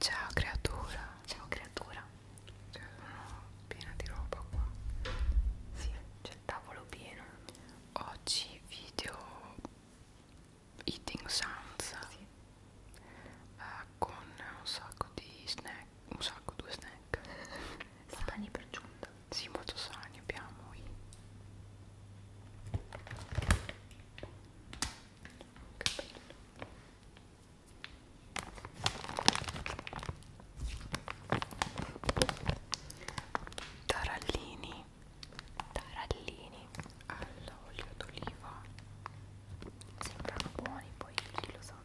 Ciao creatura. Ciao creatura. C'è una piena di roba qua. Sì, c'è il tavolo pieno. Oggi video eating sounds. Sì. Uh, con un sacco di snack, un sacco due snack. sani per giunta. Sì, molto sani abbiamo i che bello tarallini tarallini all'olio d'oliva sembrano buoni poi chi lo sa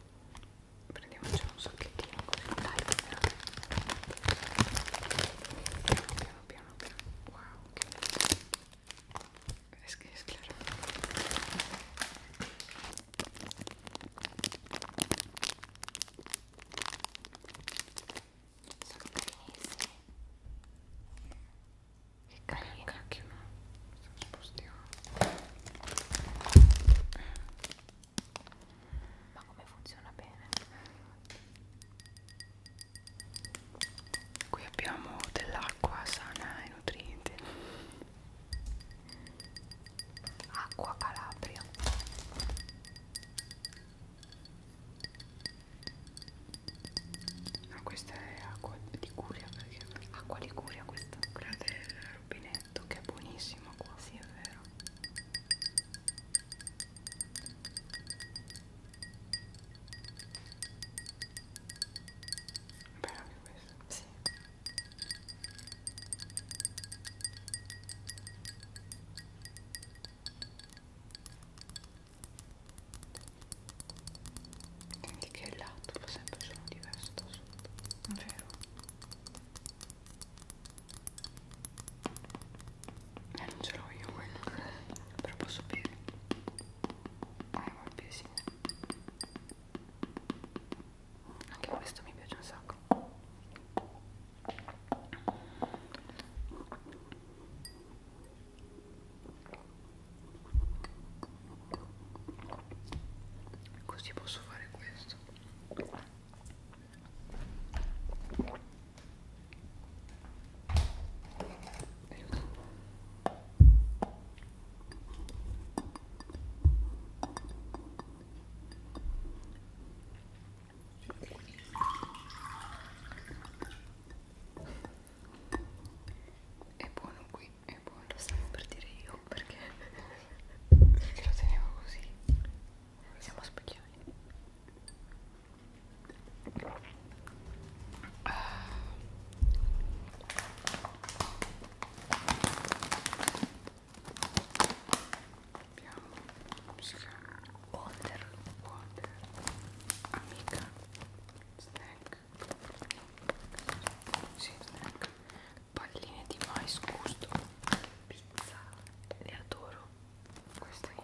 prendiamoci un sacchettino così dai piano piano piano piano wow che sono carissimi. Che carino. Cacchio, no? Spostiamo. Ma come funziona bene? qui abbiamo dell'acqua sana e nutriente acqua calabria ma no, questa è acqua di curia perché acqua di curia questa quella del rubinetto che è buonissima qua sì è vero Bello anche questo. Sì. Senti che il lato fa sempre solo diverso da sotto. Vero? Eh, non ce l'ho io quello, però posso bere. Ah, eh, vabbè, sì. Anche questo mi piace un sacco. Così posso fare questo. È buono qui, è buono, lo stavo per dire io perché, perché lo tenevo così. Siamo sbagliati. Abbiamo water, water, amica, snack, sì, snack, palline di mais gusto, pizza, le adoro, questo è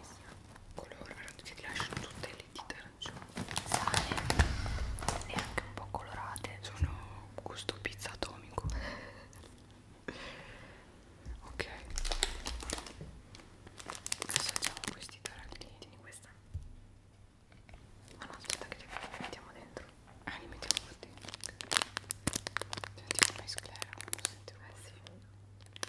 colore che ti lasciano tutte le dita arancioni sale e anche un po' colorate sono gusto pizza atomico ok adesso facciamo questi tarantini questa ma no aspetta che li mettiamo dentro ah li mettiamo dentro sentiamo la sclera quando sento eh sì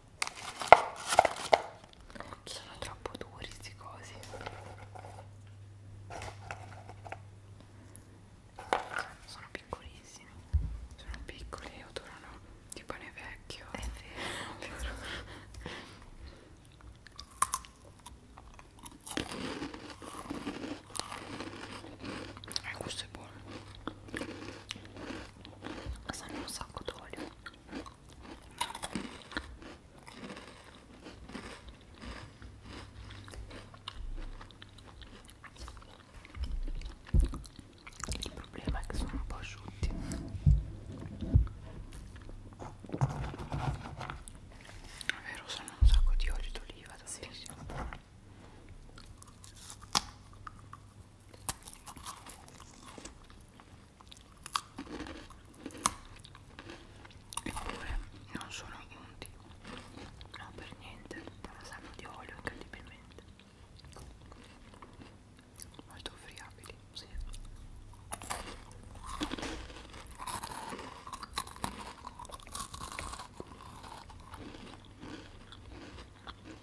sono troppo duri sti cosi sono piccolissimi sono piccoli e odorano di pane vecchio è vero e eh, questo è buono sanno un sacco d'olio il problema è che sono un po' asciutti è vero sono un sacco di olio d'oliva tantissimo sì eppure non sono unti no per niente però sanno di olio incredibilmente molto friabili sì.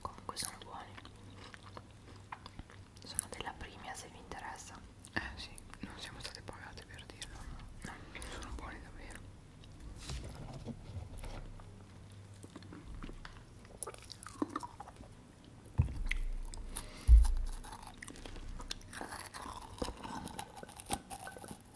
comunque sono buoni sono della prima se vi interessa eh sì non siamo state pagate per dirlo no, no. sono buoni davvero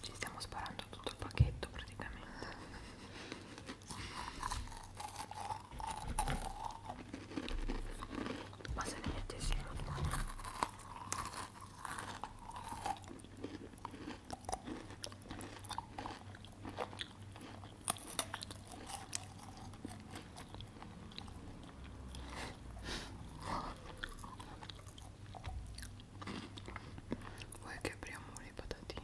Ci stiamo sparando tutto il pacchetto praticamente. Ma se ne mettessimo due Vuoi che apriamo le patatine?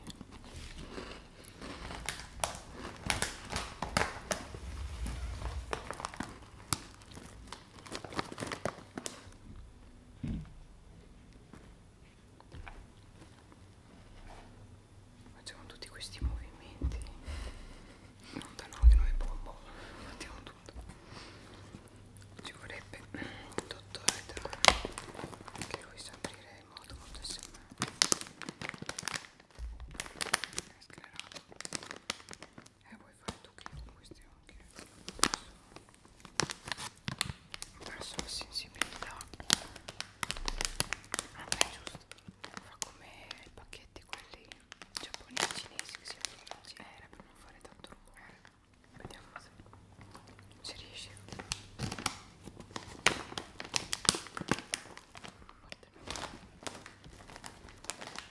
Facciamo tutti questi movimenti. Non danno di noi bombo. Facciamo tutto. Ci vorrebbe il dottore che lui sa aprire in modo molto semplice. Sclerato e vuoi fare tu che con questi occhi ho perso la sensibilità vabbè ah, giusto fa come i pacchetti quelli giapponesi cinesi che si aprono eh, era per non fare tanto rumore vediamo se ci riesci Guardami.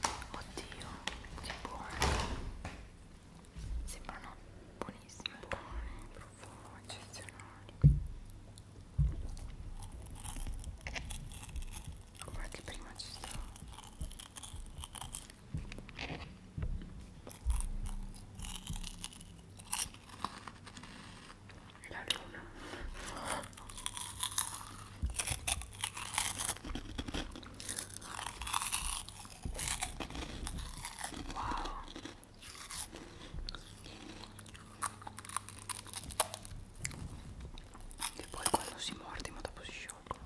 Oddio, che buone! Sembrano buonissime, buone, profumo eccezionali. Come anche prima ci stavo. La luna Wow. E poi quando si morde ma dopo si sciolgono.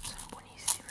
Sono buonissime.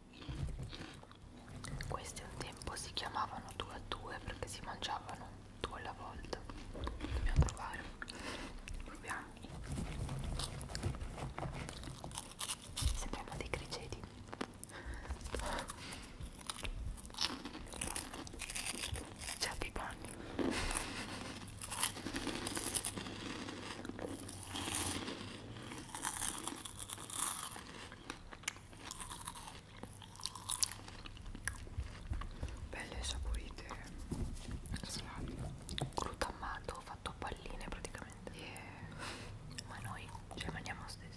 Questi un tempo si chiamavano due a due perché si mangiavano due alla volta. Dobbiamo provare. Proviamo. Sembriamo dei criceti. C'è dei panni belle saporite salami crutamato fatto a palline praticamente yeah. ma noi ce mangiamo stesso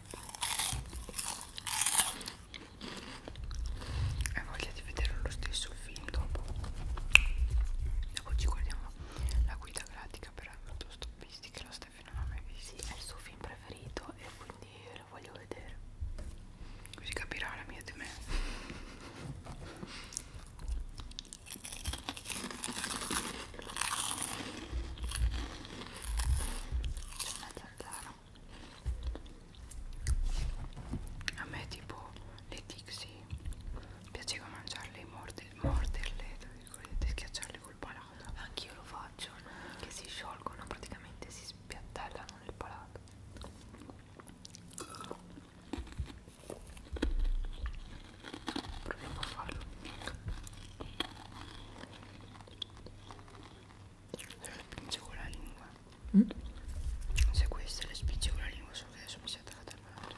Hai voglia di vedere lo stesso film dopo? Dopo ci guardiamo la guida pratica per autostoppisti che la Steffi non ha mai visto. Sì, è il suo film preferito e quindi lo voglio vedere. Così capirà la mia demenza c'è una zanzara a me tipo le Dixie piaceva mangiarle morderle, morderle tra virgolette schiacciarle col palato anch'io lo faccio che si sciolgono praticamente si spiattellano nel palato proviamo a farlo le spingevo la lingua mm? se queste le spingevo la lingua solo che adesso mi si è attaccata al malato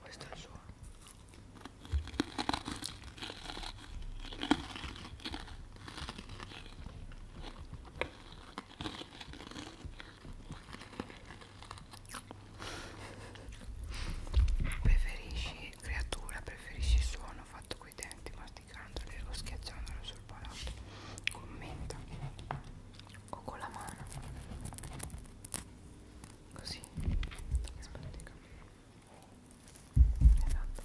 questo è il suono Preferisci creatura, preferisci suono fatto coi denti masticandole o schiacciandole sul palato? Commenta o con la mano? Così Esatto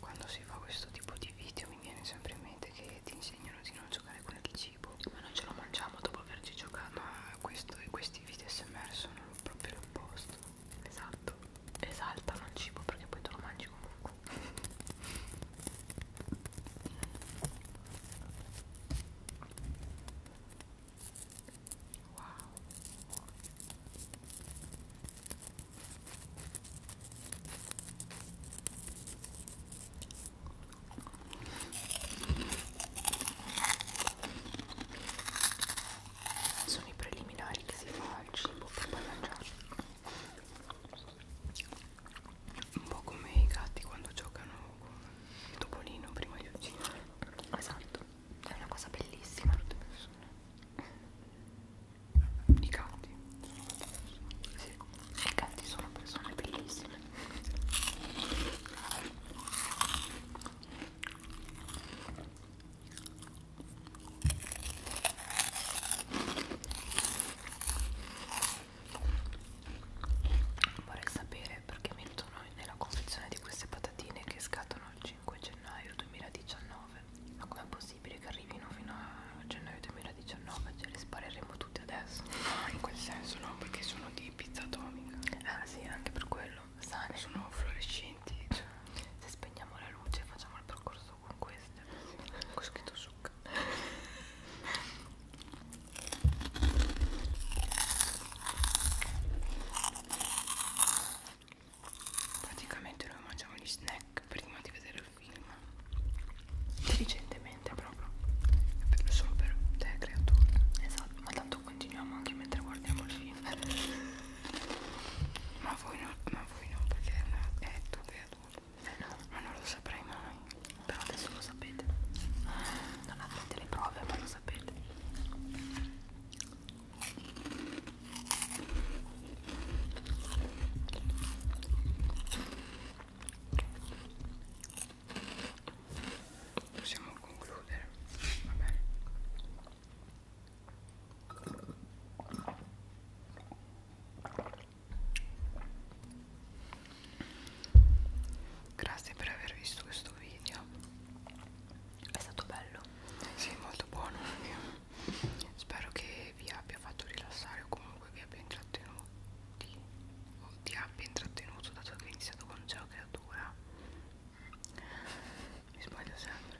quando si fa questo tipo di video mi viene sempre in mente che ti insegnano di non giocare con il cibo, ma non ce lo mangiamo dopo averci giocato. Ma questo, questi video SMR sono proprio l'opposto. Esatto, esaltano il cibo perché poi te lo mangi comunque. Wow. Sono i preliminari che si fa al cibo per poi mangiare. Un po' come i gatti quando giocano con il topolino prima di uccidere. Esatto è una cosa bellissima tutte le persone i gatti sono persone sì, i gatti sono persone bellissime vorrei sapere piace perché mettono nella confezione di queste patatine che scattano il 5 gennaio 2019 ma com'è possibile che arrivino fino a gennaio 2019? ce le spareremo tutte adesso no ah, in quel senso no perché sono di pizza atomica ah sì anche per quello sane sono fluorescenti cioè. se spegniamo la luce facciamo il percorso con queste ho scritto succa Praticamente noi mangiamo gli snack prima di vedere il film. Intelligentemente proprio. Solo per te creatura. Esatto, ma tanto continuiamo anche mentre guardiamo il film. ma voi no, ma voi no, perché è, una, è tu creatura. Eh no, ma non lo saprai mai però adesso lo sapete non avete le prove ma lo sapete possiamo concludere va bene Grazie per aver visto questo video. È stato bello. Sì, molto buono. Spero che vi abbia fatto rilassare o comunque vi abbia intrattenuti o ti abbia intrattenuto dato che hai iniziato con Geo Creatura. Mi sbaglio sempre.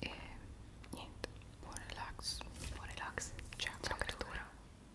E niente, buon relax. Buon relax. Ciao, Creatura.